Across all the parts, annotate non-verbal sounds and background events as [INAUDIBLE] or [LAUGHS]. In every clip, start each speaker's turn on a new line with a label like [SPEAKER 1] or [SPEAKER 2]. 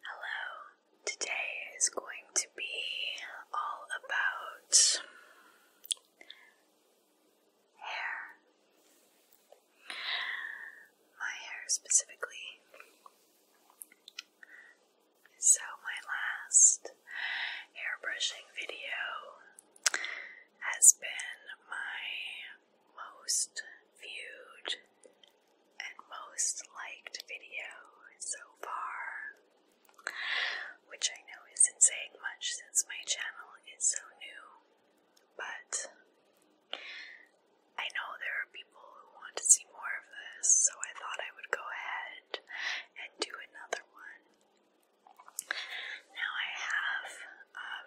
[SPEAKER 1] Hello, today is going to be all about hair. My hair specifically. So, my last hair brushing video has been my most viewed and most liked video so far, which I know isn't saying much since my channel is so new, but I know there are people who want to see more of this, so I thought I would go ahead and do another one. Now I have um,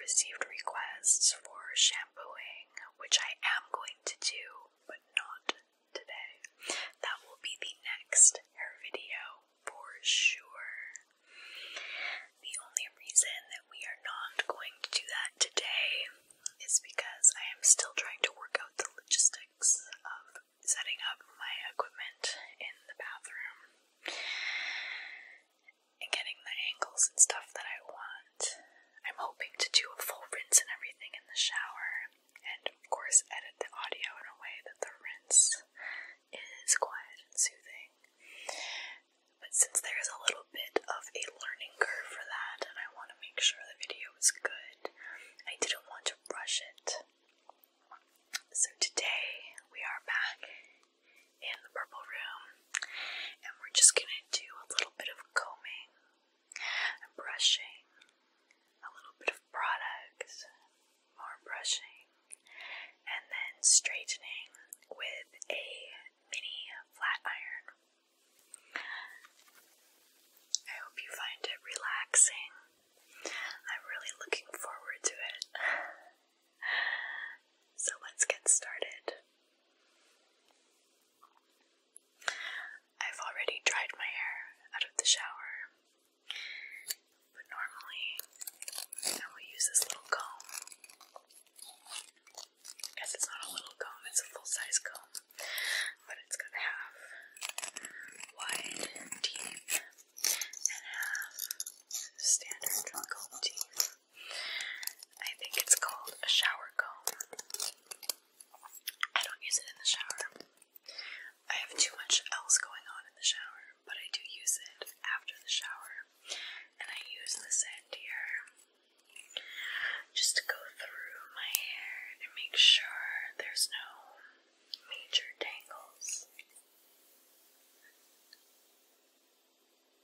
[SPEAKER 1] received requests for shampooing, which I am going to do, but not today. That will be the next hair video for sure. The only reason that we are not going to do that today is because I am still trying to work out the logistics of setting up my equipment in the bathroom and getting the angles and stuff that I want. I'm hoping to do a full rinse and everything in the shower, and of course, edit the audio in a way that the rinse is quiet and soothing. But since there is a little bit of a learning curve for that, and I want to make sure the video is good, I didn't want to rush it. So today we are back in the purple room and we're just gonna do a little bit of combing brushing, a little bit of products, more brushing, and then straightening with a mini flat iron. I hope you find it relaxing. I'm really looking forward to it. [LAUGHS] So let's get started. I've already dried my hair out of the shower, but normally I will use this little comb. I it's not a little comb, it's a full size comb, but it's gonna have wide teeth and have standard comb teeth. I think it's called a shower comb. I don't use it in the shower. I have too much else going on in the shower, but I do use it after the shower. And I use this end here just to go through my hair and make sure there's no major tangles.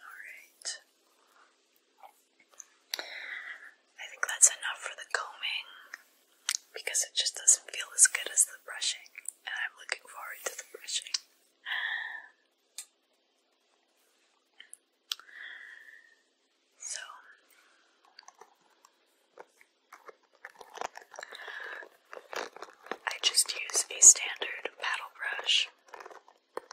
[SPEAKER 1] Alright. I think that's enough for the combing because it just doesn't feel as good as the brushing, and I'm looking forward to the brushing. So I just use a standard paddle brush. I'm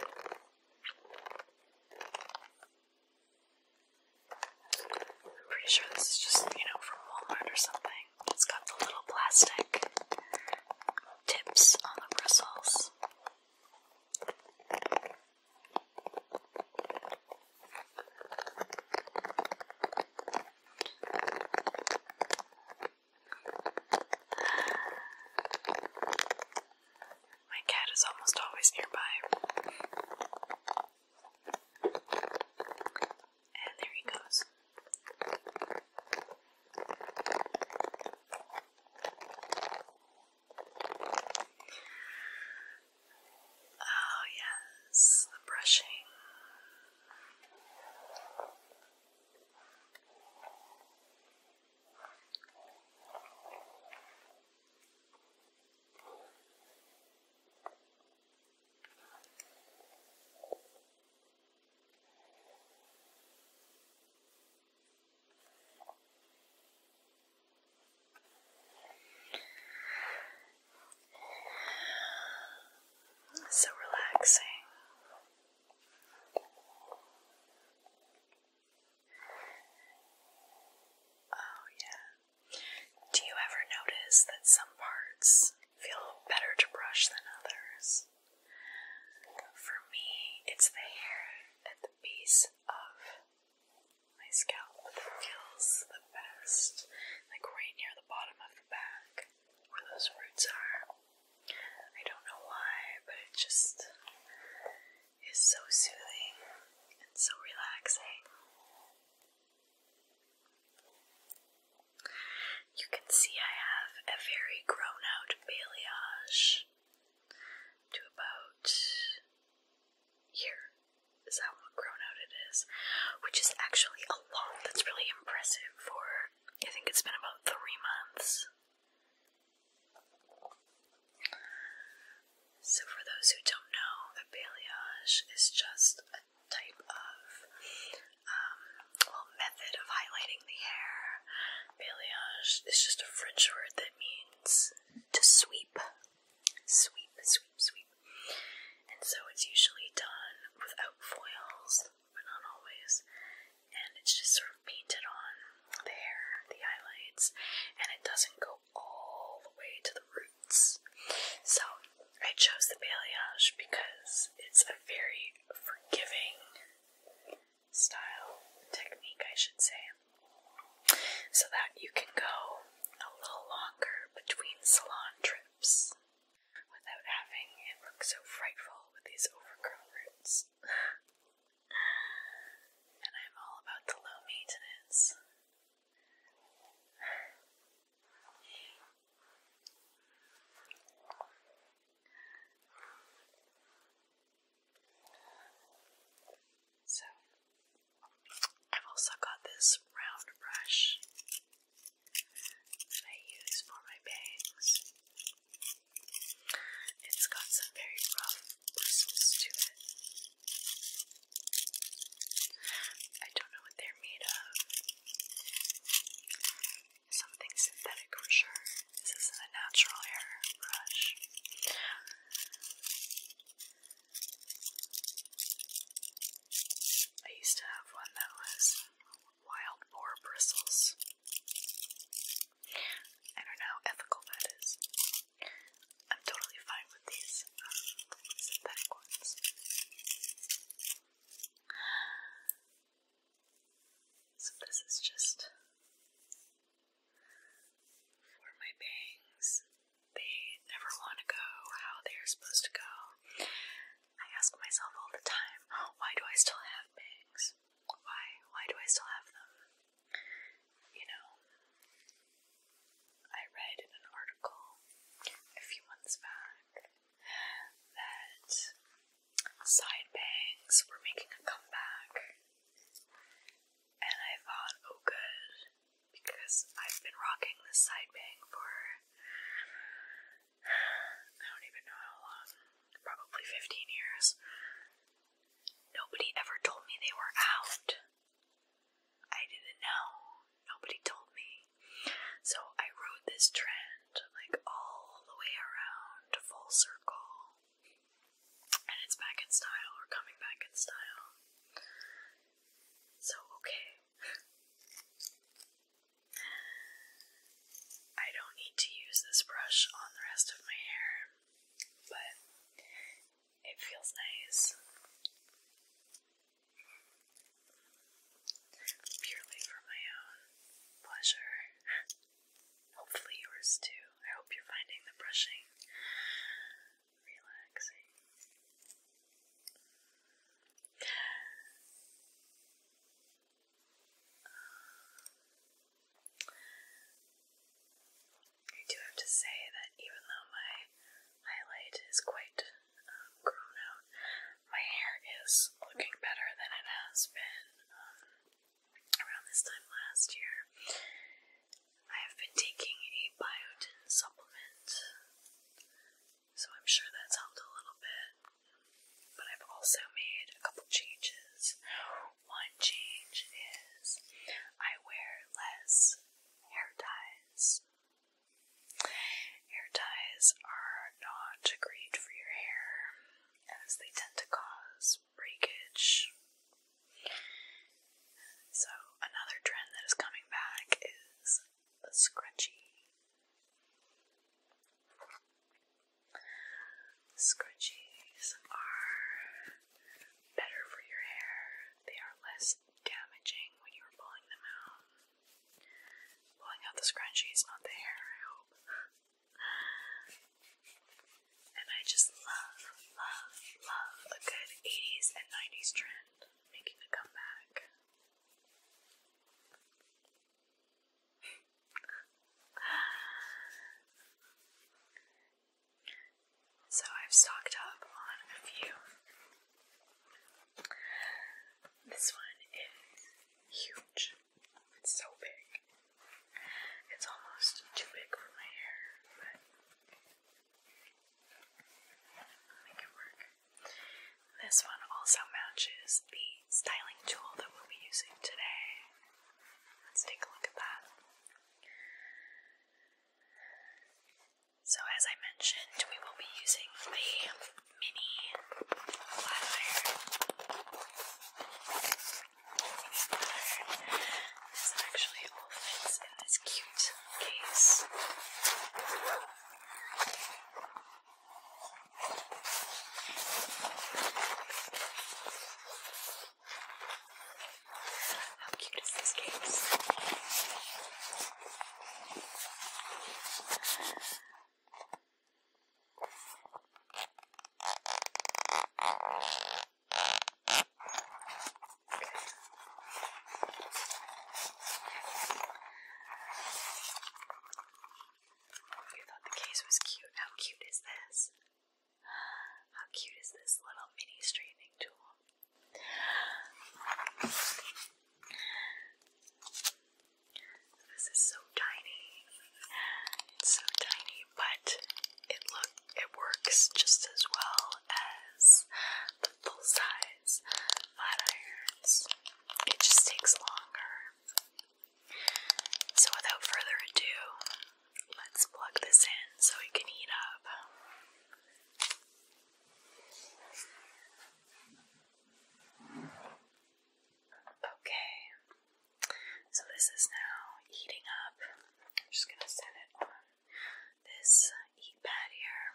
[SPEAKER 1] pretty sure this is just, you know, from Walmart or something. It's got the little plastic tips on the bristles. My cat is almost always nearby. And there he goes. Oh, yes, the brushing. So relaxing. Oh, yeah. Do you ever notice that some parts feel better to brush than others? For me, it's the hair piece of my scalp that feels the best, like right near the bottom of the back, where those roots are. I don't know why, but it just is so soothing and so relaxing. You can see I have a very grown out balayage to about here is how grown out it is, which is actually a lot. That's really impressive for, I think it's been about three months. So for those who don't know, a balayage is just a type of, um, method of highlighting the hair Balayage is just a French word that means to sweep. Sweep, sweep, sweep. And so it's usually done without foils, but not always. And it's just sort of painted on the hair, the highlights, and it doesn't go all the way to the roots. So I chose the balayage because it's a very forgiving style technique, I should say, so that you can go a little longer between salon trips without having it look so frightful with these overgrown roots. [LAUGHS] and I'm all about the low maintenance. So, I've also got this round brush that I use for my bangs. It's got some very rough bristles to it. I don't know what they're made of something synthetic for sure. This isn't a natural airbrush. I used to have one that was wild boar bristles. I don't know how ethical that is. I'm totally fine with these um, synthetic ones. So this is just for my bangs. They never want to go how they're supposed to go. I ask myself all the time, why do I still have bangs? Why? Why do I still have them? You know, I read an article a few months back that side bangs were making a comeback, and I thought, oh, good, because I've been rocking this side bang for I don't even know how long, probably 15 years. Nobody ever told me they were out. I didn't know. Nobody told me. So I rode this trend like all the way around, full circle. And it's back in style, or coming back in style. So, okay. I don't need to use this brush on the rest of my hair, but it feels nice. Purely for my own pleasure. [LAUGHS] Hopefully, yours too. I hope you're finding the brushing relaxing. Um, I do have to say that even though my highlight is quite um, grown out, my hair is looking better than it has been um, around this time last year, I have been taking a biotin supplement, so I'm sure that's helped a little bit. But I've also made a couple changes. One change is I wear less hair ties. Hair ties are not great for your hair as they tend to cause breakage. So, another trend that is coming back is the scrunchie. Scrunchies are better for your hair, they are less damaging when you are pulling them out. Pulling out the scrunchies, not the hair, I hope. And I just love, love, love a good 80s and 90s trend making a comeback. so I've stocked up on a few. This one is huge. It's so big. It's almost too big for my hair, but I'll make it work. This one also matches the styling tool that we'll be using today. Let's take a look at that. So, as I mentioned, we will be using the mini flower. This actually all fits in this cute case. How cute is this case? You thought the case was cute. How cute is this? How cute is this little mini straightening tool? This is so tiny. so tiny, but it look it works just as well as the full size flat irons. It just takes longer. So without further ado, let's plug this in so we can heat up. Okay, so this is now heating up. I'm just gonna set it on this heat pad here.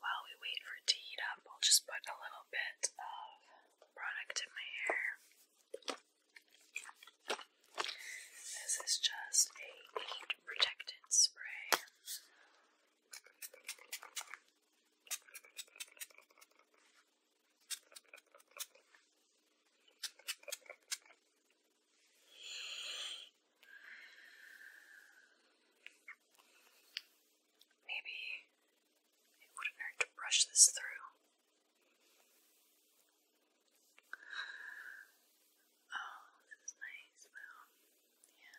[SPEAKER 1] While we wait for it to heat up, I'll just put a little bit of product in my hair. This is just a heat protected spray. Maybe it wouldn't hurt to brush this through. Oh, this is nice. Well, yeah.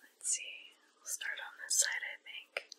[SPEAKER 1] Let's see, we'll start on this side, I think.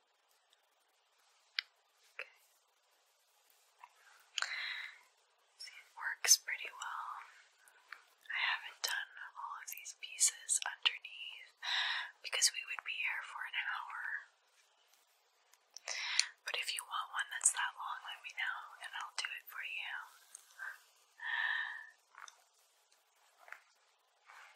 [SPEAKER 1] Okay. See, it works pretty well. I haven't done all of these pieces underneath because we would be here for an hour. But if you want one that's that long, let me know and I'll do it for you.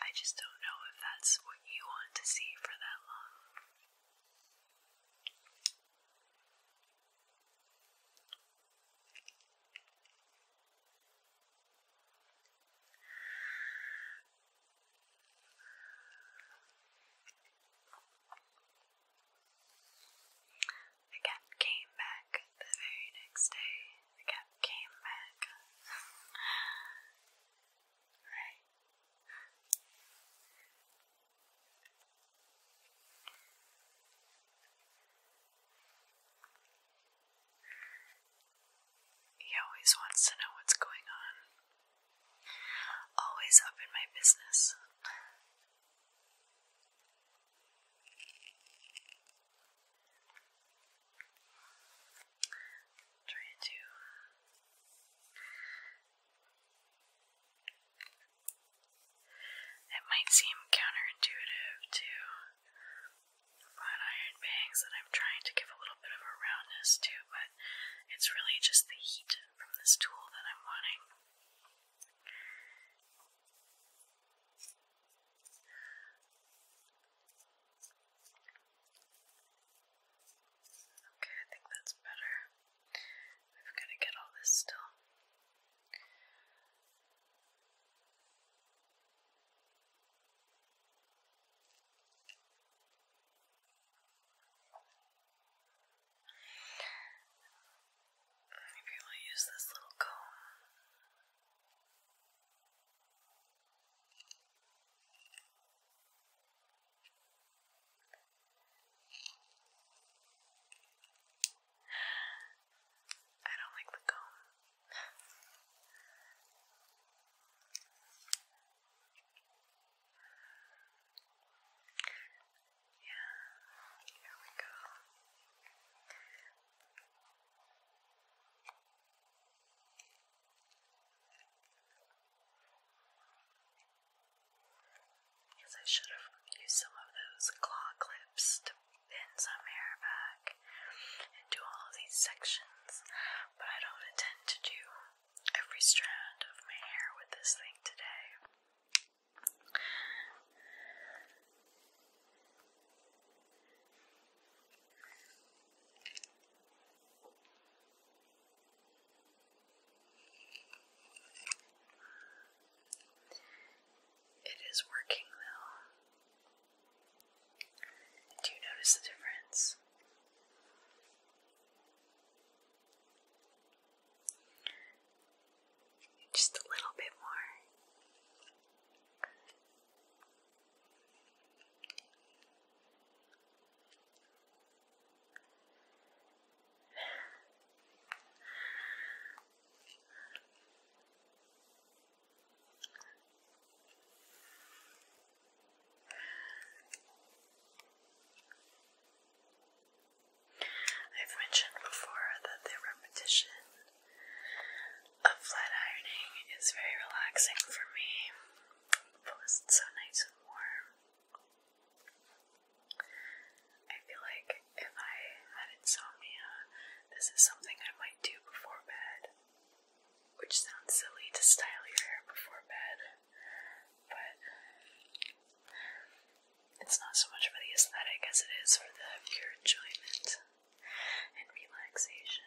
[SPEAKER 1] I just don't know if that's what you want to see for that long. The came back the very next day. The came back. [LAUGHS] He always wants to know what's going on. Always up in my business. Try to uh, it might seem counterintuitive to flat iron bangs that I'm trying to give a little bit of a roundness to, but it's really just the heat from this tool that I'm wanting. Okay, I think that's better. We've got to get all this still. Maybe we'll use this little comb. I don't like the comb. yeah, here we go. Guess I should have used some of those claw clips to pin some hair back and do all of these sections, but I don't intend to do every strand of my hair with this thing today. It is working though. Do you notice the difference? Just a little bit more. I've mentioned before that the repetition a flat ironing is very relaxing for me. it's so nice and warm. I feel like if I had insomnia, this is something I might do before bed. Which sounds silly to style your hair before bed, but it's not so much for the aesthetic as it is for the pure enjoyment and relaxation.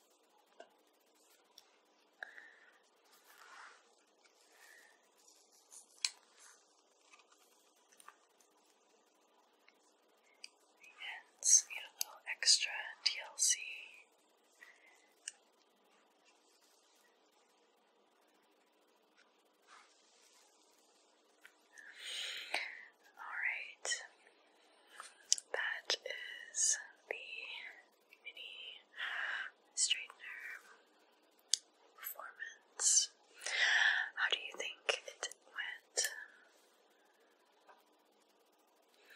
[SPEAKER 1] And get a little extra DLC. Alright, that is the mini straightener performance. How do you think it went?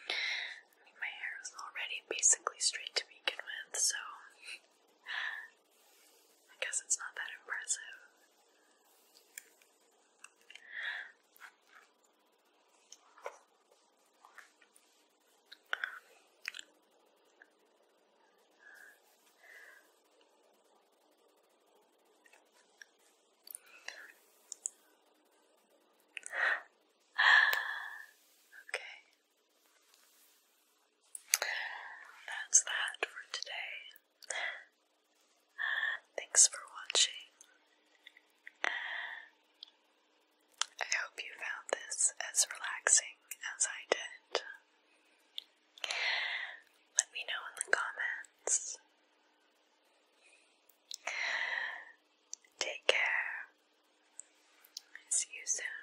[SPEAKER 1] I mean, my hair is already basically straight to begin with, so I guess it's not that impressive okay. That's that for today. Thanks for watching. I hope you found this as relaxing as I did. Let me know in the comments. Take care. See you soon.